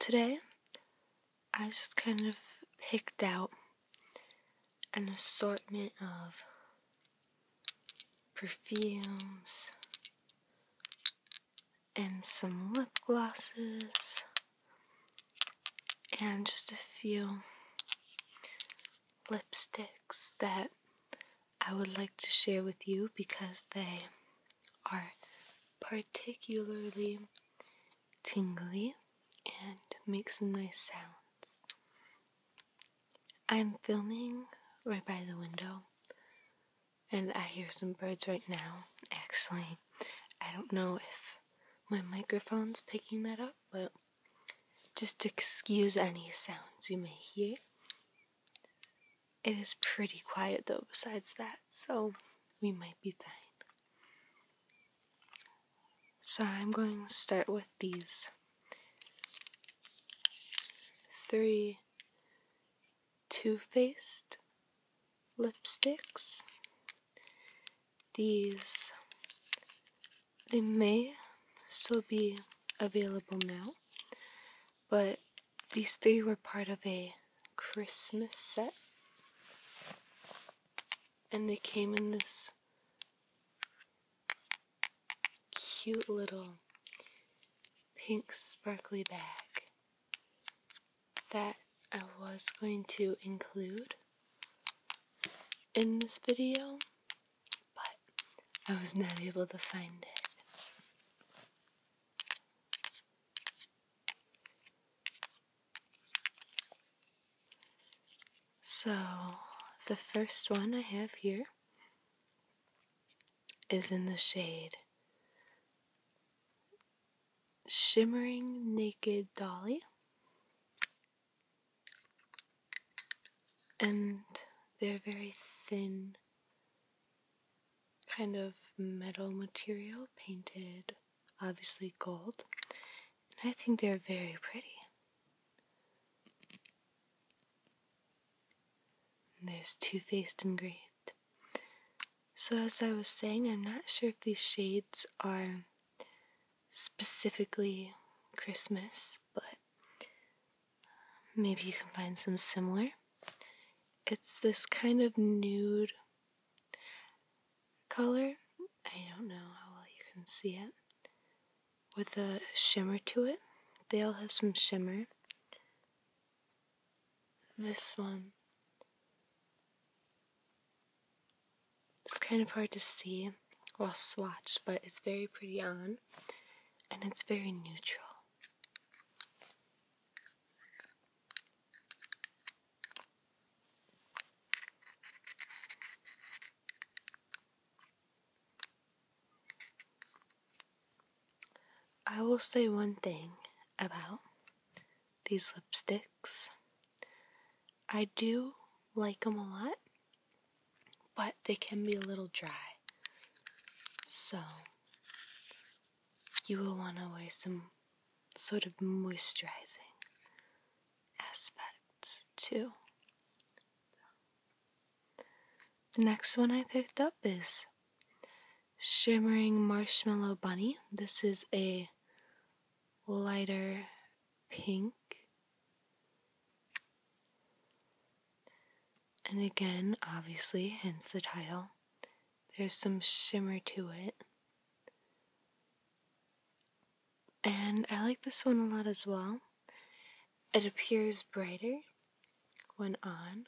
Today, I just kind of picked out an assortment of perfumes and some lip glosses and just a few lipsticks that I would like to share with you because they are particularly tingly and make some nice sounds. I'm filming right by the window and I hear some birds right now. Actually, I don't know if my microphone's picking that up, but just excuse any sounds you may hear. It is pretty quiet though, besides that, so we might be fine. So I'm going to start with these three 2 Faced lipsticks. These, they may still be available now, but these three were part of a Christmas set, and they came in this cute little pink sparkly bag that I was going to include in this video, but I was not able to find it. So, the first one I have here is in the shade Shimmering Naked Dolly. And they're very thin kind of metal material painted obviously gold. And I think they're very pretty. there's Too Faced and Great. So, as I was saying, I'm not sure if these shades are specifically Christmas, but maybe you can find some similar. It's this kind of nude color. I don't know how well you can see it. With a shimmer to it. They all have some shimmer. This one. It's kind of hard to see while swatched, but it's very pretty on and it's very neutral. I will say one thing about these lipsticks. I do like them a lot, but they can be a little dry. So, you will want to wear some sort of moisturizing aspect too. The next one I picked up is Shimmering Marshmallow Bunny. This is a lighter pink. And again, obviously, hence the title there's some shimmer to it. And I like this one a lot as well. It appears brighter when on.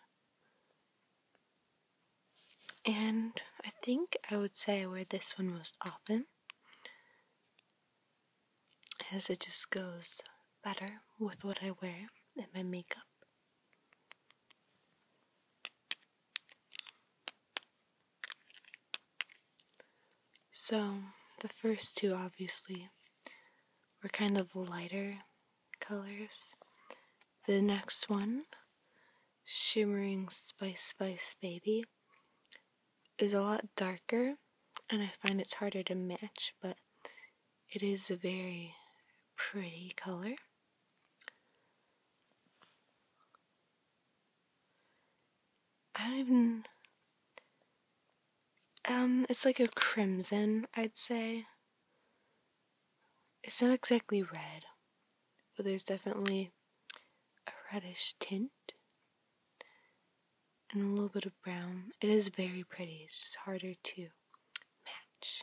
And I think I would say I wear this one most often as it just goes better with what I wear and my makeup. So, the first two obviously were kind of lighter colors. The next one, Shimmering Spice Spice Baby, is a lot darker and I find it's harder to match, but it is a very pretty color. I don't even. Um, it's like a crimson, I'd say. It's not exactly red, but there's definitely a reddish tint and a little bit of brown. It is very pretty, it's just harder to match.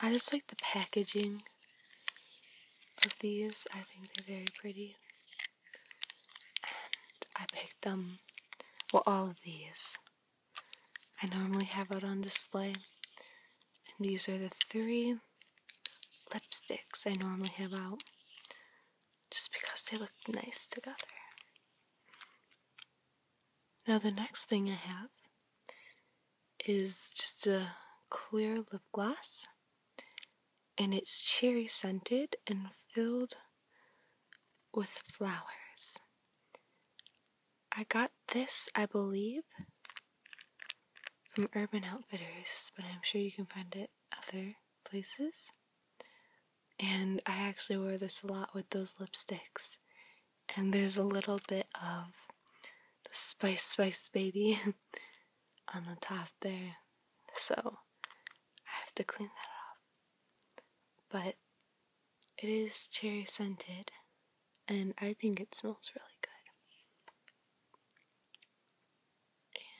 I just like the packaging of these. I think they're very pretty. And I picked them, well, all of these. I normally have out on display. And these are the three lipsticks I normally have out. Just because they look nice together. Now, the next thing I have is just a clear lip gloss, and it's cherry scented and filled with flowers. I got this, I believe, from Urban Outfitters, but I'm sure you can find it other places and I actually wear this a lot with those lipsticks. And there's a little bit of the Spice Spice Baby on the top there, so I have to clean that off. But it is cherry scented, and I think it smells really good.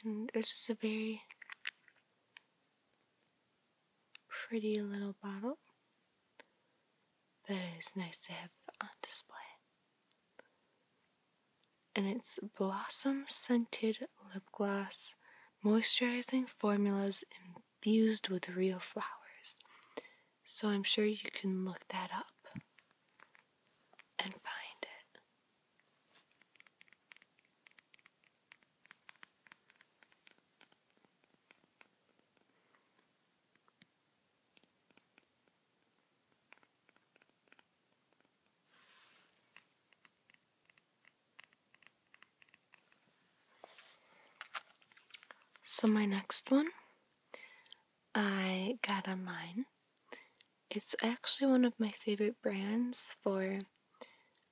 And it's just a very pretty little bottle that is nice to have on display. And it's Blossom Scented Lip Gloss Moisturizing Formulas Infused with Real Flowers. So I'm sure you can look that up and find it. So, my next one I got online. It's actually one of my favorite brands for,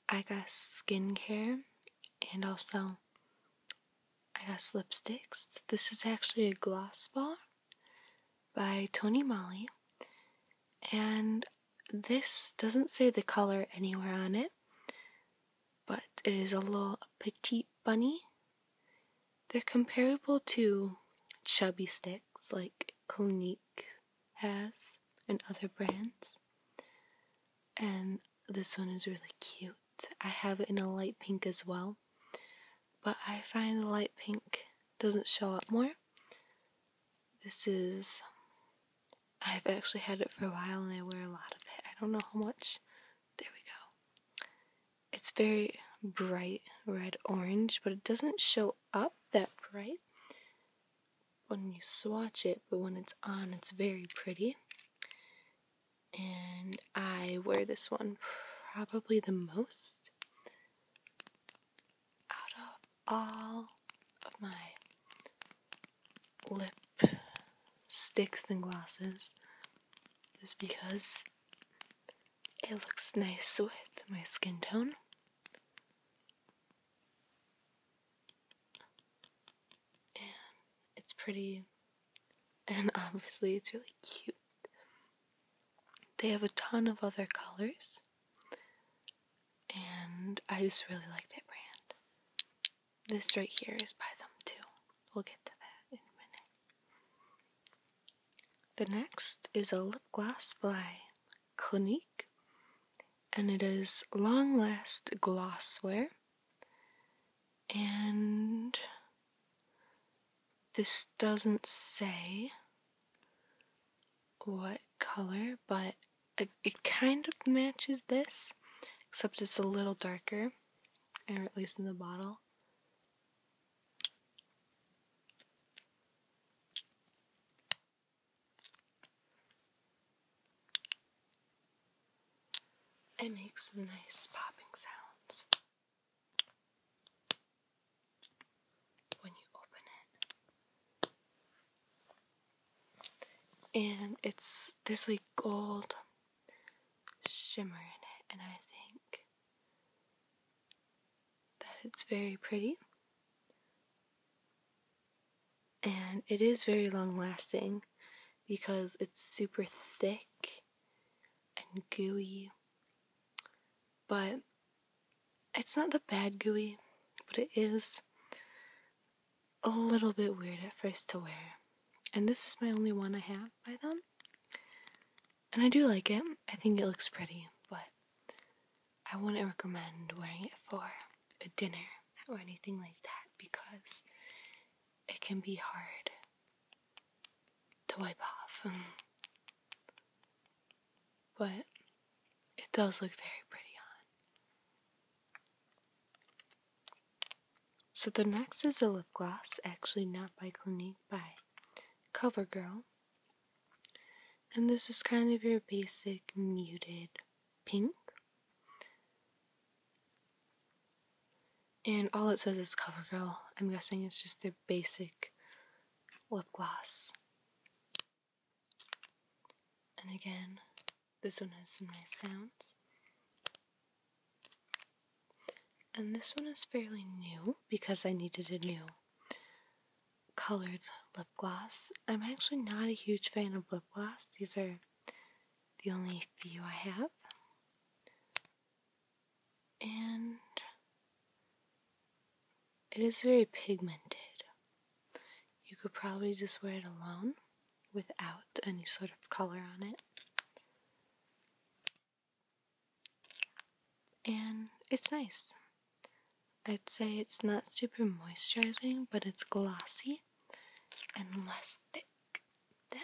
I guess, skincare and also I got lipsticks. This is actually a gloss bar by Tony Moly, and this doesn't say the color anywhere on it, but it is a little petite bunny. They're comparable to chubby sticks like Clinique has and other brands. And this one is really cute. I have it in a light pink as well, but I find the light pink doesn't show up more. This is, I've actually had it for a while and I wear a lot of it. I don't know how much. There we go. It's very bright red orange, but it doesn't show up that bright when you swatch it, but when it's on, it's very pretty. And I wear this one probably the most out of all of my lip sticks and glosses, just because it looks nice with my skin tone and it's pretty, and obviously it's really cute. They have a ton of other colors, and I just really like that brand. This right here is by them too. We'll get to that in a minute. The next is a lip gloss by Clinique, and it is Long Last Glossware. And this doesn't say what color, but it, kind of matches this, except it's a little darker, or at least in the bottle. It makes some nice popping sounds when you open it. And it's this like gold shimmer in it, and I think that it's very pretty and it is very long lasting because it's super thick and gooey. But it's not the bad gooey, but it is a little bit weird at first to wear. And this is my only one I have by them. And I do like it. I think it looks pretty, but I wouldn't recommend wearing it for a dinner or anything like that because it can be hard to wipe off. Um, but it does look very pretty on. So the next is a lip gloss, actually not by Clinique, by CoverGirl. And this is kind of your basic muted pink. And all it says is CoverGirl. I'm guessing it's just their basic lip gloss. And again, this one has some nice sounds. And this one is fairly new because I needed a new colored lip gloss. I'm actually not a huge fan of lip gloss. These are the only few I have. And it is very pigmented. You could probably just wear it alone without any sort of color on it. And it's nice. I'd say it's not super moisturizing, but it's glossy and less thick than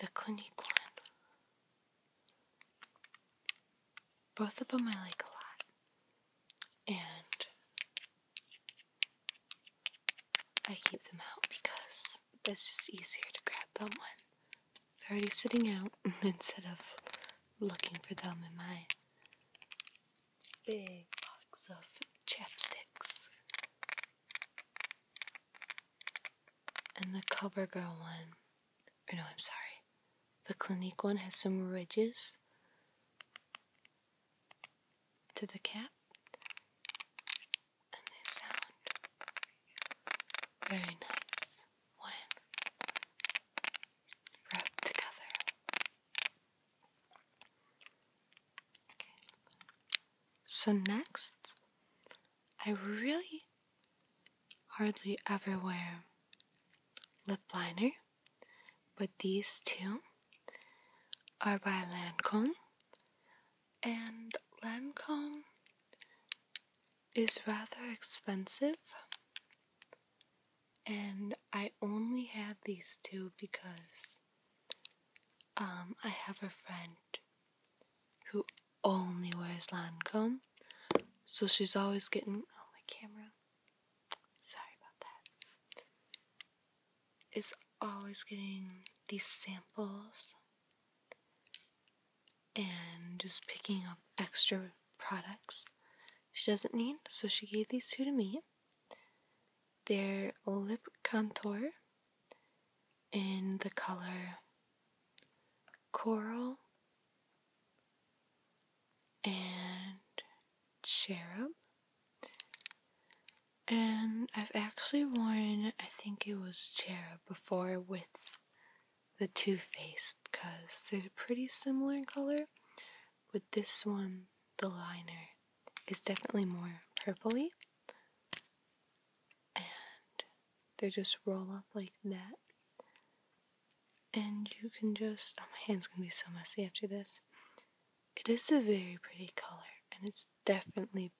the Clinique one. Both of them I like a lot, and I keep them out because it's just easier to grab them when they're already sitting out instead of looking for them in my big box of chapsticks. And the CoverGirl one, or no, I'm sorry, the Clinique one has some ridges to the cap, and they sound very nice when rubbed together. So next, I really hardly ever wear lip liner, but these two are by Lancome. And Lancome is rather expensive and I only have these two because um, I have a friend who only wears Lancome, so she's always getting. Oh, my camera. Sorry about that. Is always getting these samples and just picking up extra products she doesn't need, so she gave these two to me their lip contour in the color coral and cherub. And I've actually worn, I think it was cherub before with the Too Faced because they're pretty similar in color, With this one, the liner is definitely more purpley, and they just roll up like that. And you can just, oh, my hand's gonna be so messy after this. It is a very pretty color, and it's definitely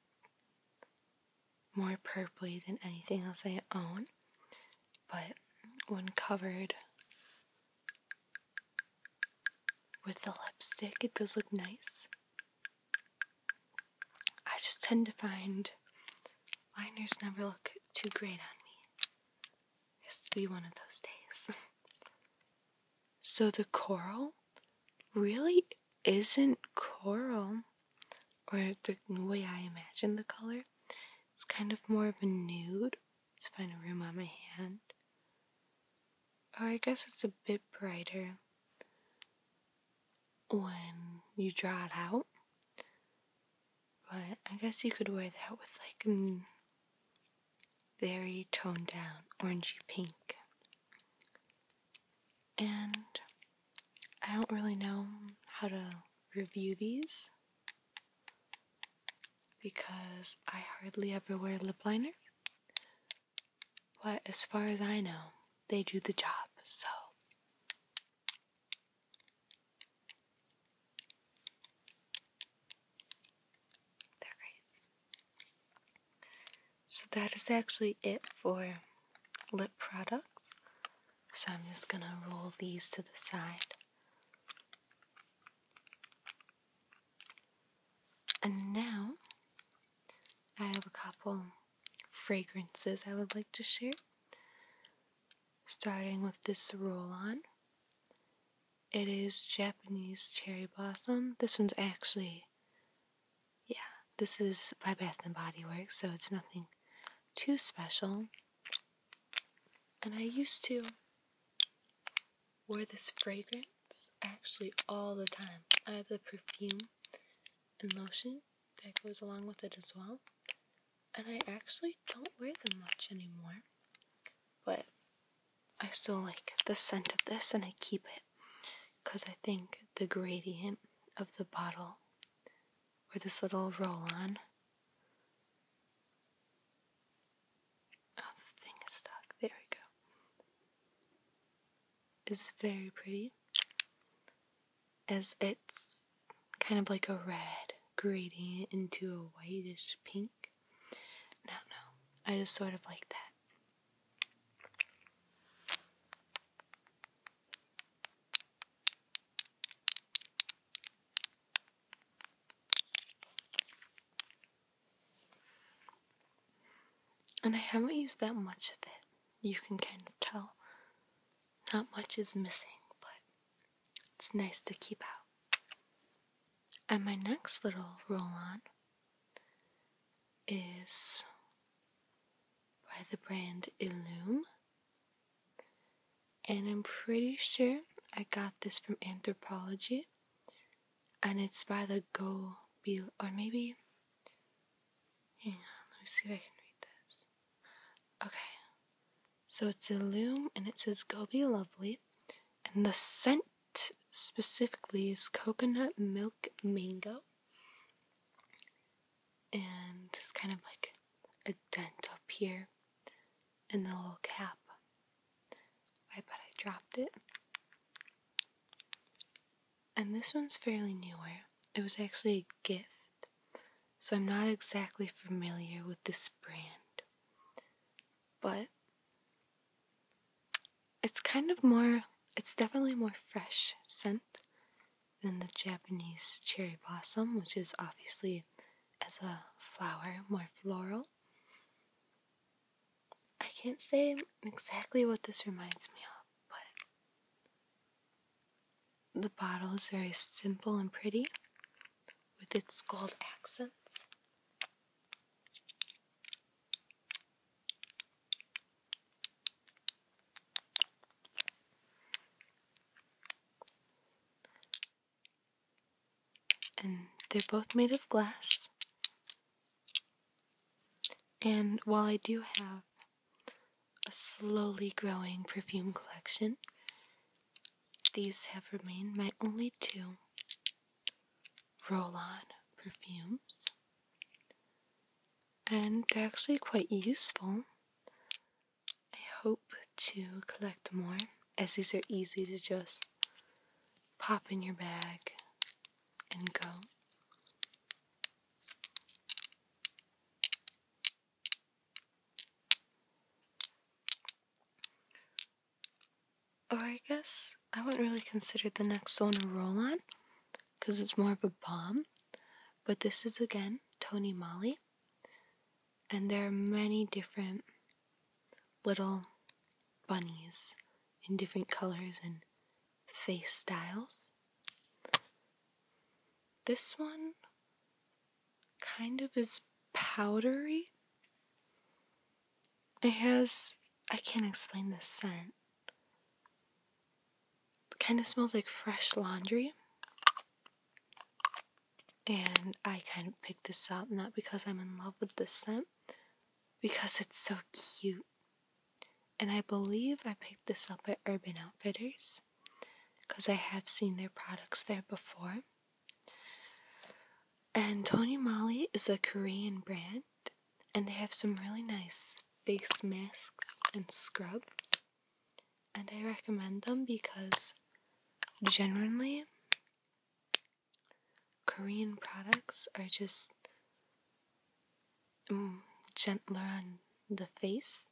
more purpley than anything else I own. But when covered with the lipstick, it does look nice. I just tend to find liners never look too great on me. Has to be one of those days. so the coral really isn't coral, or the way I imagine the color. It's kind of more of a nude. Let's find a room on my hand. Oh, I guess it's a bit brighter when you draw it out. But I guess you could wear that with like very toned down orangey pink. And I don't really know how to review these because I hardly ever wear lip liner. But as far as I know, they do the job, so. They're So that is actually it for lip products. So I'm just gonna roll these to the side. And now I have a couple fragrances I would like to share. Starting with this roll on. It is Japanese cherry blossom. This one's actually, yeah, this is by Bath and Body Works, so it's nothing too special. And I used to Wear this fragrance actually all the time. I have the perfume and lotion that goes along with it as well. And I actually don't wear them much anymore. But I still like the scent of this and I keep it because I think the gradient of the bottle or this little roll on Oh, the thing is stuck. There we go. It's very pretty. As it's kind of like a red grading into a whitish pink. No, no. I just sort of like that. And I haven't used that much of it. You can kind of tell. Not much is missing, but it's nice to keep out. And my next little roll on is by the brand Illume. And I'm pretty sure I got this from Anthropology and it's by the Go Bill, or maybe. Hang on, let me see if I can read this. Okay, so it's a loom, and it says Go Be Lovely, and the scent specifically is coconut milk mango, and it's kind of like a dent up here and the little cap I bet I dropped it. And this one's fairly newer. It was actually a gift, so I'm not exactly familiar with this brand. But it's kind of more, it's definitely more fresh scent than the Japanese cherry blossom, which is obviously as a flower more floral. I can't say exactly what this reminds me of, but the bottle is very simple and pretty with its gold accents and they're both made of glass. And while I do have a slowly growing perfume collection, these have remained my only two roll on perfumes. And they're actually quite useful. I hope to collect more, as these are easy to just pop in your bag and go. Or I guess I wouldn't really consider the next one a roll on because it's more of a bomb. But this is again Tony Molly, and there are many different little bunnies in different colors and face styles. This one kind of is powdery. It has, I can't explain the scent. kind of smells like fresh laundry. And I kind of picked this up not because I'm in love with the scent, because it's so cute. And I believe I picked this up at Urban Outfitters because I have seen their products there before. And Tony Mali is a Korean brand, and they have some really nice face masks and scrubs. And I recommend them because genuinely, Korean products are just mm, gentler on the face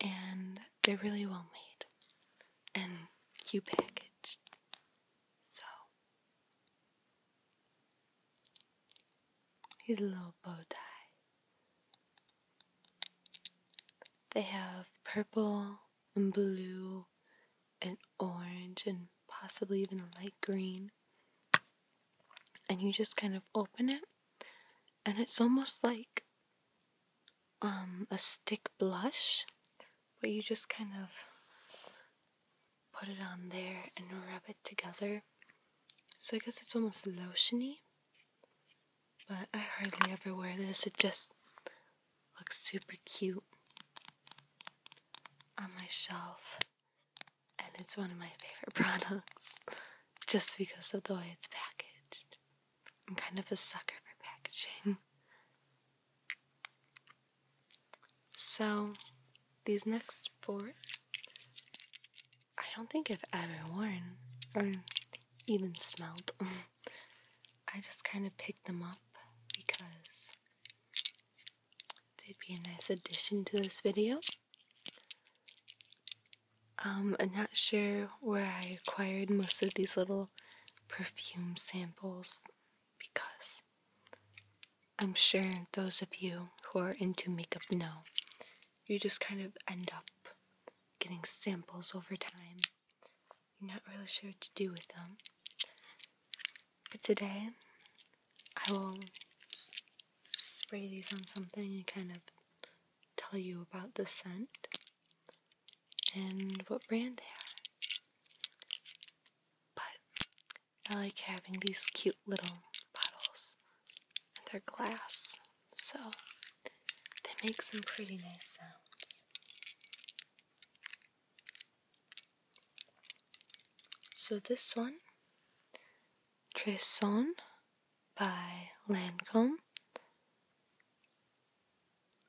and they're really well made and you packaged. So he's a little bow tie. They have purple, blue and orange and possibly even a light green. And you just kind of open it, and it's almost like um, a stick blush, but you just kind of put it on there and rub it together. So I guess it's almost lotiony, but I hardly ever wear this. It just looks super cute on my shelf, and it's one of my favorite products just because of the way it's packaged. I'm kind of a sucker for packaging. So, these next four, I don't think I've ever worn or even smelled. I just kind of picked them up because They'd be a nice addition to this video. Um, I'm not sure where I acquired most of these little perfume samples because I'm sure those of you who are into makeup know you just kind of end up getting samples over time. You're not really sure what to do with them. But today, I will spray these on something and kind of tell you about the scent and what brand they are. But I like having these cute little bottles. They're glass, so they make some pretty nice sounds. So this one, Treson by Lancome.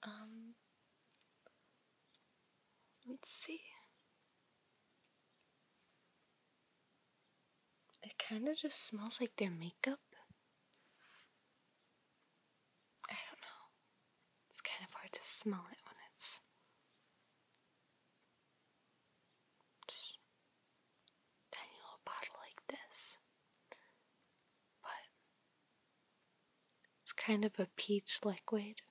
Um, let's see. It kind of just smells like their makeup. I don't know. It's kind of hard to smell it when it's tiny little bottle like this. But it's kind of a peach liquid.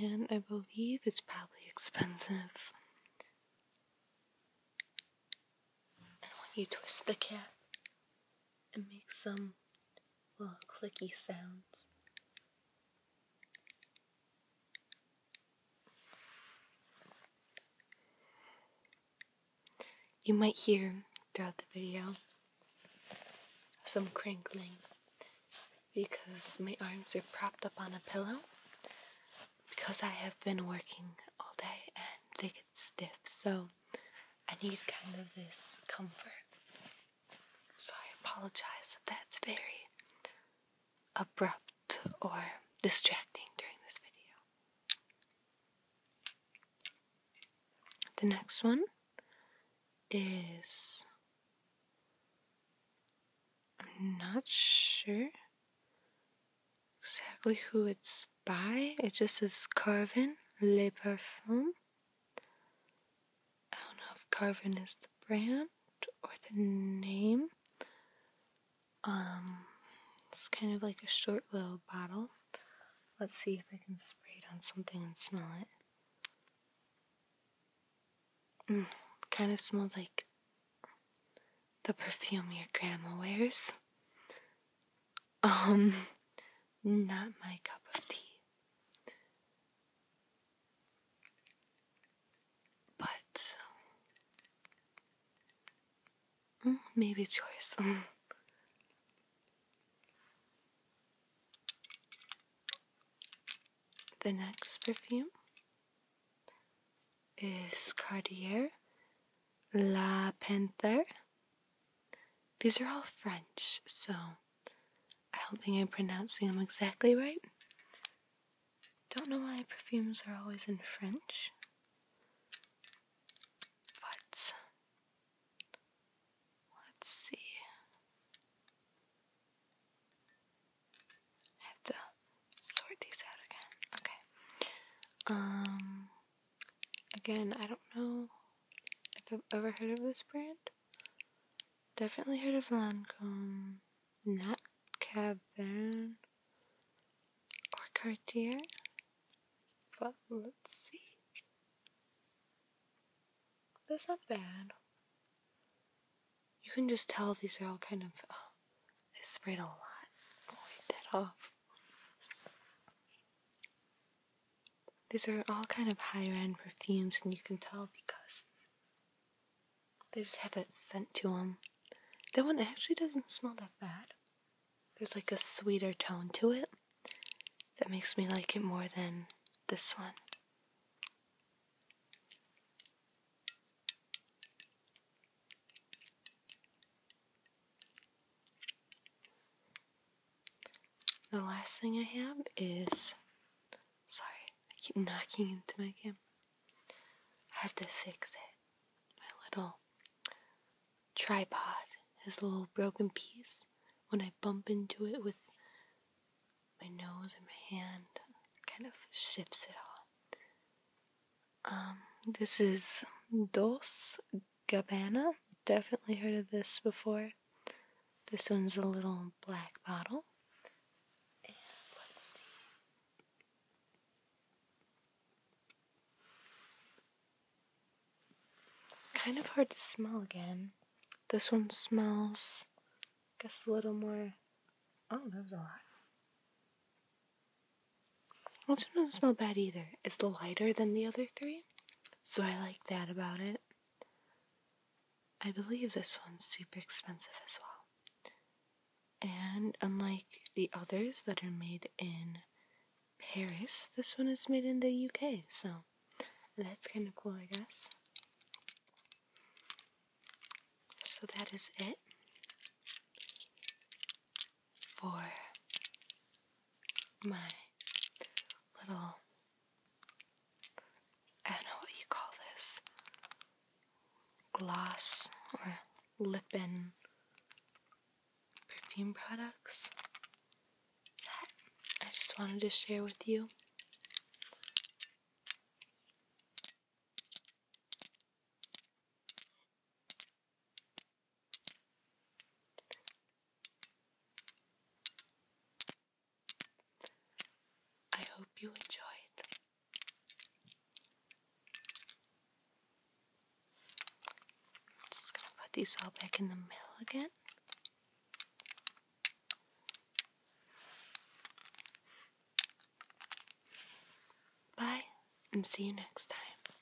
And I believe it's probably expensive. And when you twist the cap, it makes some little clicky sounds. You might hear throughout the video some crinkling because my arms are propped up on a pillow because I have been working all day and they get stiff, so I need kind of this comfort. So I apologize if that's very abrupt or distracting during this video. The next one is. I'm not sure exactly who it's by. It just says Carvin Le Parfum. I don't know if Garvin is the brand or the name. Um, it's kind of like a short little bottle. Let's see if I can spray it on something and smell it. Mm, kind of smells like the perfume your grandma wears. Um, not my cup of tea. But um, maybe choice. the next perfume is Cartier La Panther these are all French, so I don't think I'm pronouncing them exactly right. Don't know why perfumes are always in French, but let's see. have to sort these out again. Okay. Um, Again, I don't know if I've ever heard of this brand. Definitely heard of Lancome, not Cavern, or Cartier, but let's see. That's not bad. You can just tell these are all kind of. I oh, sprayed a lot. wipe that off. These are all kind of higher end perfumes, and you can tell because they just have it sent to them. That one actually doesn't smell that bad. There's like a sweeter tone to it that makes me like it more than this one. The last thing I have is. Sorry, I keep knocking into my cam. I have to fix it. My little tripod has a little broken piece. When I bump into it with my nose and my hand, kind of shifts it all. Um, this is Dos Gabbana. Definitely heard of this before. This one's a little black bottle. And let's see. Kind of hard to smell again. This one smells, I guess, a little more. Oh, that was a lot. This one doesn't smell bad either. It's lighter than the other three. So I like that about it. I believe this one's super expensive as well. And unlike the others that are made in Paris, this one is made in the UK, so that's kind of cool, I guess. So that is it for my little I don't know what you call this gloss or lip in perfume products that I just wanted to share with you. I hope you enjoyed. Just gonna put these all back in the middle again. Bye, and see you next time.